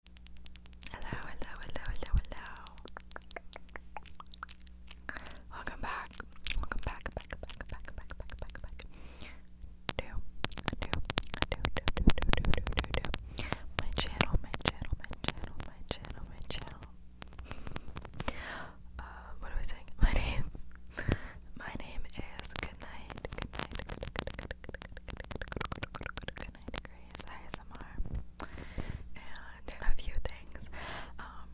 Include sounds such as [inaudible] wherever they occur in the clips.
Hello, hello, hello, hello, hello. Welcome back. Welcome back, back, back, back, back, back, back, back. Do, do, do, do, do, do, do, do, do. My channel, my channel, my channel, my channel, my channel. Uh, what are we saying? My name. My name is Goodnight. Goodnight. Good, good, good, good, good, good, good, good, good, good, good, good, good, good, 99 Degrees ASMR and a few things. Um,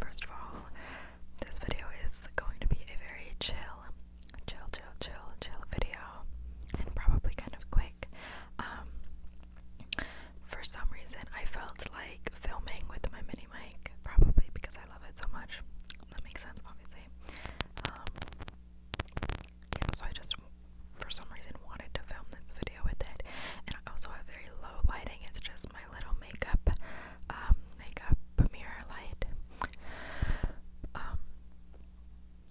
first of all, this video is going to be a very chill, chill, chill, chill, chill video and probably kind of quick. Um, for some reason, I felt like filming with my mini mic, probably because I love it so much. That makes sense, obviously. Um, yeah, so I just for some reason wanted to film this video with it. And I also have very low lighting, it's just my little makeup, um, makeup mirror light. Um,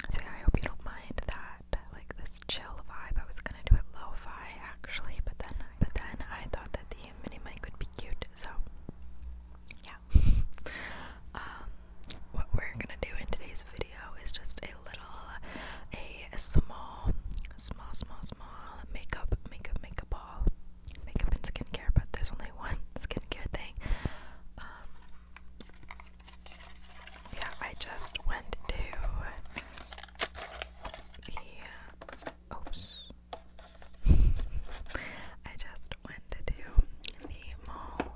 so yeah, I hope you don't mind that, like this chill vibe. I was gonna do it lo-fi actually, but then, but then I thought that the mini mic would be cute, so yeah. [laughs] Um, what we're gonna do in today's video is just a little, a small, small, small, small makeup, makeup, makeup haul, makeup and skincare. But there's only one [laughs] skincare thing. Um, yeah, I just went to the. oops. [laughs] I just went to do the mall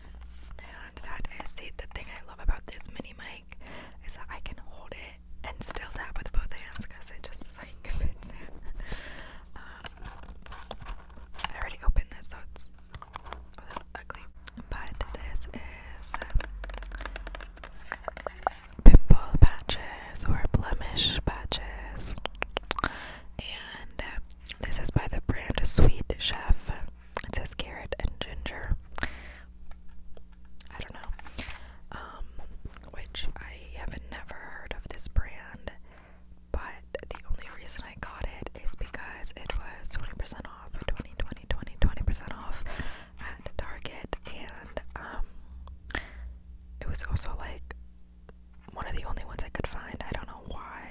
And that is the thing I love about this mini mic is that I can hold it and still tap with both hands because it just like fits [laughs] there. Um, I already opened this, so it's a little ugly. But this is um, pimple patches or blemish patches, and um, this is by the brand Sweet Chef. It says carrot and ginger. I don't know. Um, which I have never heard of this brand, but the only reason I got it is because it was 20% off, 20, 20, 20, percent off at Target, and um, it was also like one of the only ones I could find. I don't know why.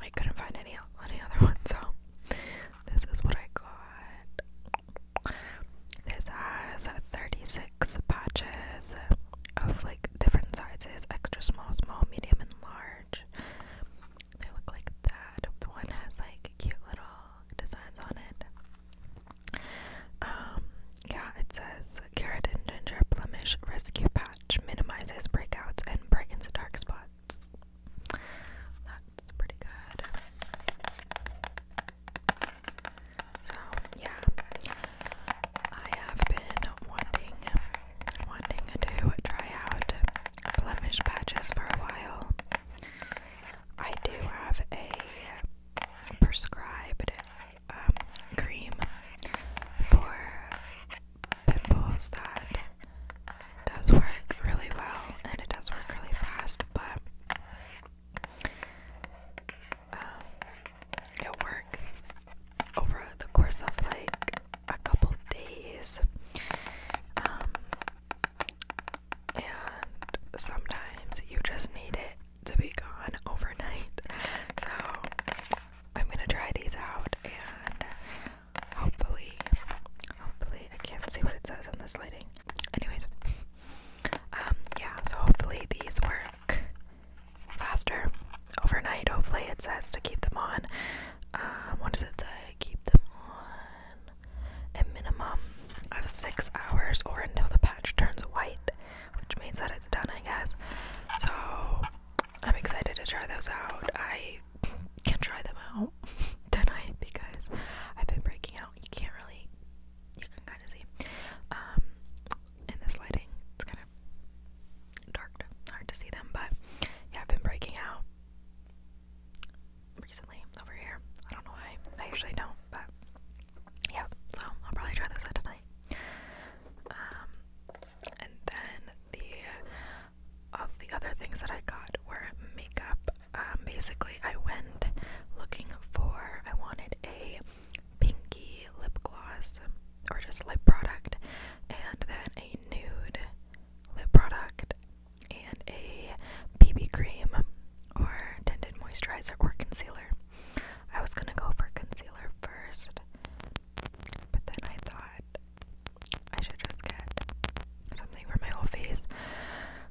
I couldn't find any any other [laughs] one, so this is what I got. This has 36 patches of like different sizes, extra small, small, medium, and large. They look like that. one has like cute little designs on it. Um, yeah, it says carrot and ginger Flemish rescue pack patch minimizes breakouts and brightens dark spots. That's pretty good. So, yeah. I have been wanting wanting to try out blemish patches for a while. I do have a prescribed um, cream for pimples that does work really well and it does work really fast, but um, it works over the course of like a couple days. Um, and sometimes you just need it to be gone overnight. So I'm gonna try these out and hopefully, hopefully, I can't see what it says on this lighting. Anyways, um, yeah, so hopefully these work faster overnight. Hopefully, it says to keep them on. Um, what does it say? Keep them on a minimum of six hours or until the patch turns white, which means that it's done, I guess. So, I'm excited to try those out. I can try them out [laughs] tonight because I've been breaking out. You can't really, you can kind of see um, in this lighting. It's kind of dark, hard to see them, but yeah, I've been breaking out recently over here. I don't know why. I usually don't, but yeah. So I'll probably try those out tonight. Um, and then the of uh, the other things that I got were makeup. Um, basically, I went looking for I wanted a pinky lip gloss or just lip product, and then a nude lip product, and a BB cream or tinted moisturizer or concealer. I was gonna go for concealer first, but then I thought I should just get something for my whole face.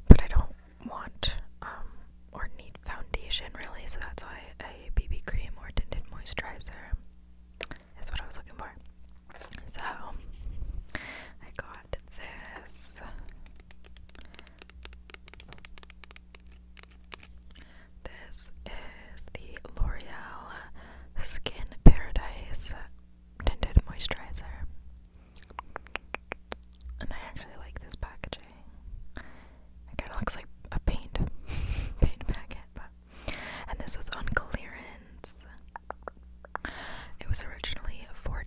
But I don't want um or need foundation really, so that's why a BB cream or tinted moisturizer is what I was looking for. So I got this this is the L'Oreal Skin Paradise Tinted Moisturizer. And I actually like this packaging. It kind of looks like a paint, [laughs] paint packet, but. And this was on clearance. It was originally $14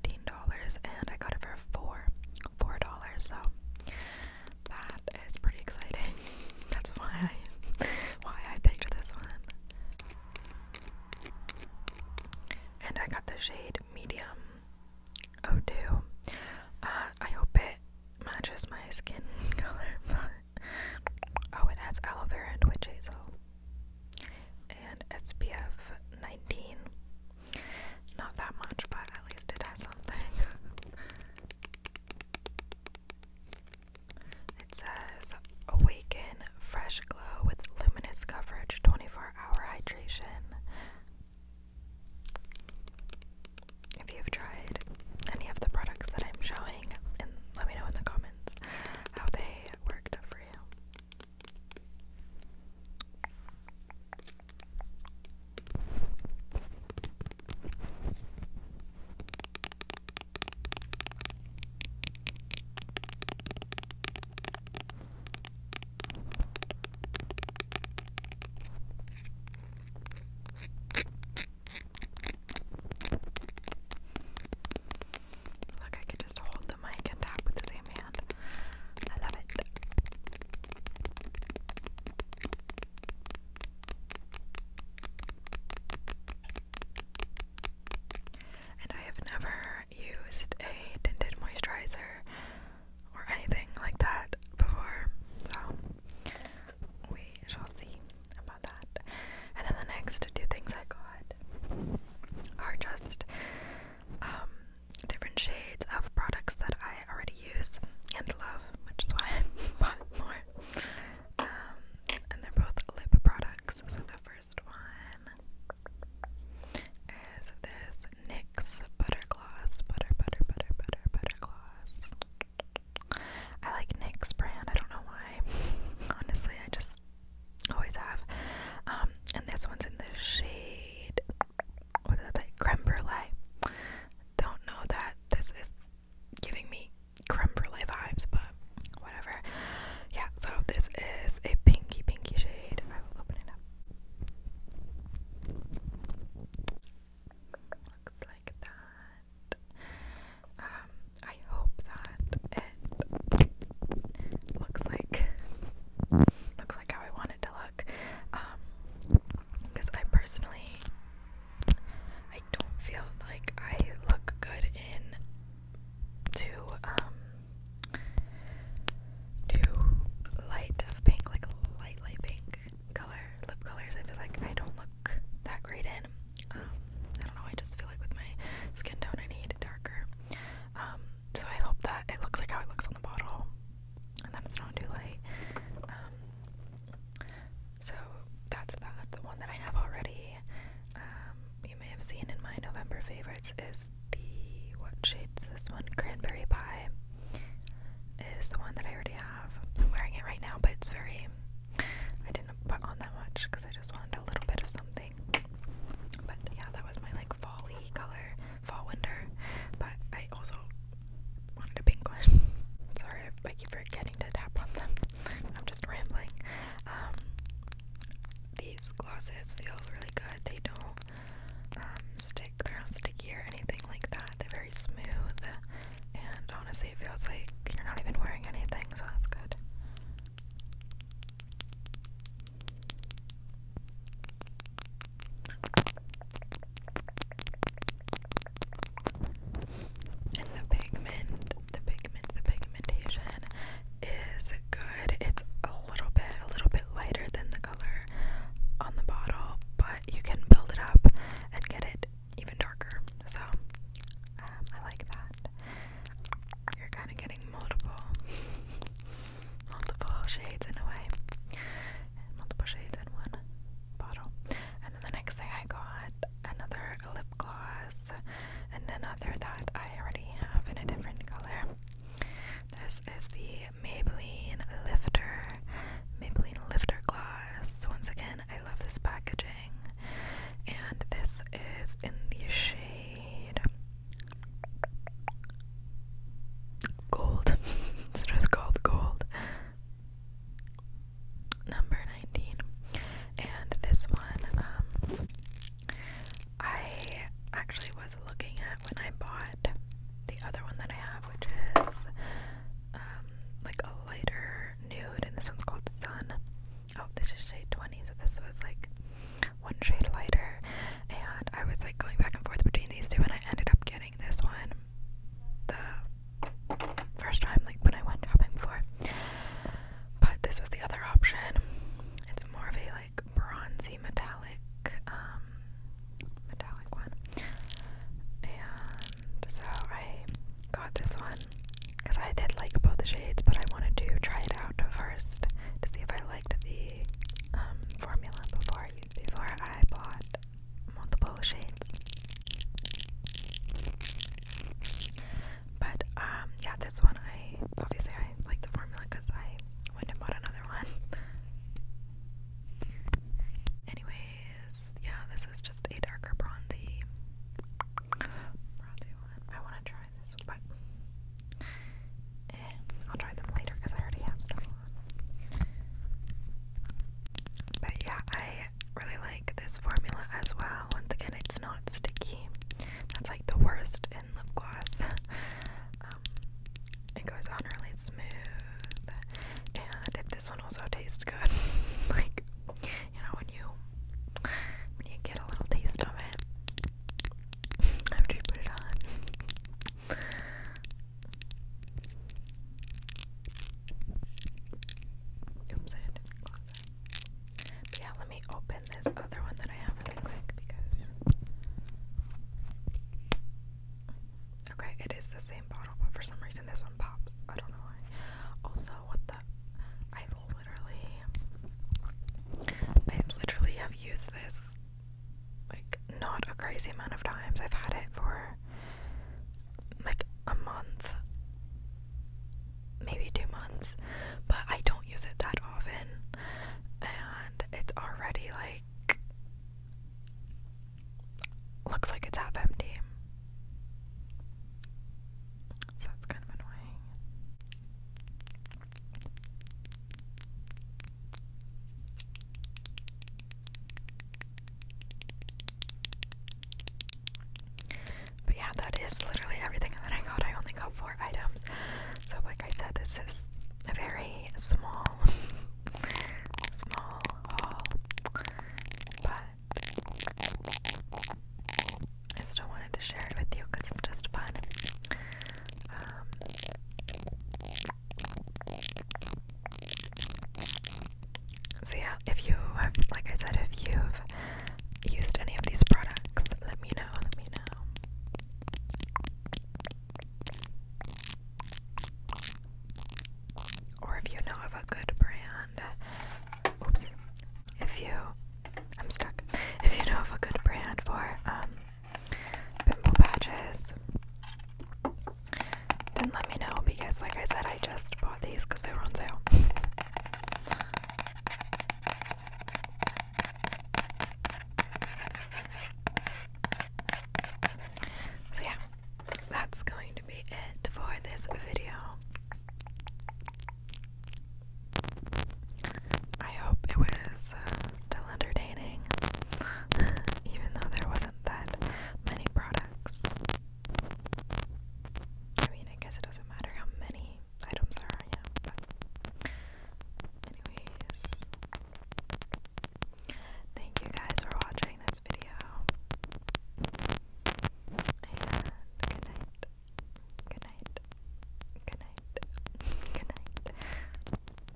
and I got it for 4 $4, so that is pretty exciting. [laughs] That's why I why I picked this one. And I got the shade medium Oh, 2 uh, I hope it matches my skin [laughs] color. oh, it has aloe vera and witch hazel. And SPF 19. Not that much, but at least it has something. [laughs] It says Awaken Fresh Glow with Luminous Coverage 24 Hour Hydration. If you've tried any of the products that I'm showing, let me know in the comments how they worked for you. Look, I can just hold the mic and tap with the same hand. I love it. And I have never used a tinted moisturizer or anything like that before, so we shall see about that. And then the next two things I got are just um, different shades of products that I already use and love, which is why [laughs] I bought more. Um, and they're both lip products. So the first one is this NYX Butter Gloss. Butter, butter, butter, butter, butter gloss. I like NYX brand. I don't know why. [laughs] Honestly, I just always have. Um, and this one's in the shade. What is that? Creme Brulee. Don't know that this is giving me creme brulee vibes, but whatever. Yeah, so this is a pinky, pinky shade. I will open it up. Looks like that. Um, I hope that it looks like looks like how I want to look. Um, because I personally I don't feel like I look good in too um too light of pink, like light light pink color lip colors. I feel like I don't look that great in. Um, I don't know. I just feel like with my skin tone, I need darker. Um, so I hope that it looks like how it looks on the bottle and then not too late. so that's that. The one that I have already, um, you may have seen in my November favorites, is the what shapes this one? Cranberry pie is the one that I already have. I'm wearing it right now, but it's very. I didn't put on that much because I just wanted a little bit of something. But yeah, that was my like fall color, fall winter. But I also wanted a pink one. Sorry, I keep forgetting to tap on them. [laughs] I'm just rambling. Um, these glosses feel really good. They don't um, stick. They're not sticky or anything like that. They're very smooth, and honestly, it feels like you're not even wearing anything, so that's good. And the pigment, the pigment, the pigmentation is good. It's a little bit, a little bit lighter than the color on the bottle, but you can build it up and get it even darker. So um, I like that. You're kind of getting multiple, multiple shades in a way, multiple shades in one bottle. And then the next thing I got another lip gloss and another that I already have in a different color. This is the Maybelline Lifter, Maybelline Lifter Gloss. Once again, I love this packaging. And this is in the shade Gold. [laughs] it's just called Gold. Number 19. And this one, um, I actually was looking at when I bought the other one that I have, which is um, like a lighter nude, and this one's called Sun. Oh, this is shade 20, so this was like one shade lighter. And I was like going back and forth between these two, and I ended up getting this one the first time, like when I went shopping before. But this was the other option. It's more of a like bronzy metallic, um, metallic one. And so I got this one because I did like both the shades, but I wanted to try it out first to see if I liked the um, formula before before I bought multiple shades. But um, yeah, this one I obviously I like the formula because I went and bought another one. Anyways, yeah, this is just a darker bronzy, bronzy one. I want to try this, but eh, I'll try them later because I already have but yeah, I really like this formula as well. Once again, it's not sticky. That's like the worst in lip gloss. [laughs] Um, it goes on really smooth, and this one also tastes good. [laughs] like you know, when you when you get a little taste of it after you put it on. Oops, yeah, let me open this other one that I have really quick because. Okay, it is the same bottle, but for some reason this one pops. I don't know why. Also, what the. I literally. I literally have used this like not a crazy amount of times. I've had it for like a month, maybe two months, but I don't use it that often, and it's already like looks like it's half empty. So that's kind of annoying. But yeah, that is literally everything that I got. I only got four items. So, like I said, this is a very small, [laughs] small haul. But I still wanted to share it with you because it's just fun. Um, so yeah, if you have, like I said, if you've used any of these products, let me know, let me know. Or if you know of a good brand, oops, if you, I'm stuck, if you know of a good brand for, um, pimple patches, then let me know because, like I said, I just bought these because they were on sale. So, yeah, that's going to be it for this video. I hope it was uh, still entertaining, [laughs] even though there wasn't that many products. I mean, guess it doesn't matter how many items there are, yeah, but. Anyways. Thank you guys for watching this video. And good night. Good night. Good night. Good night.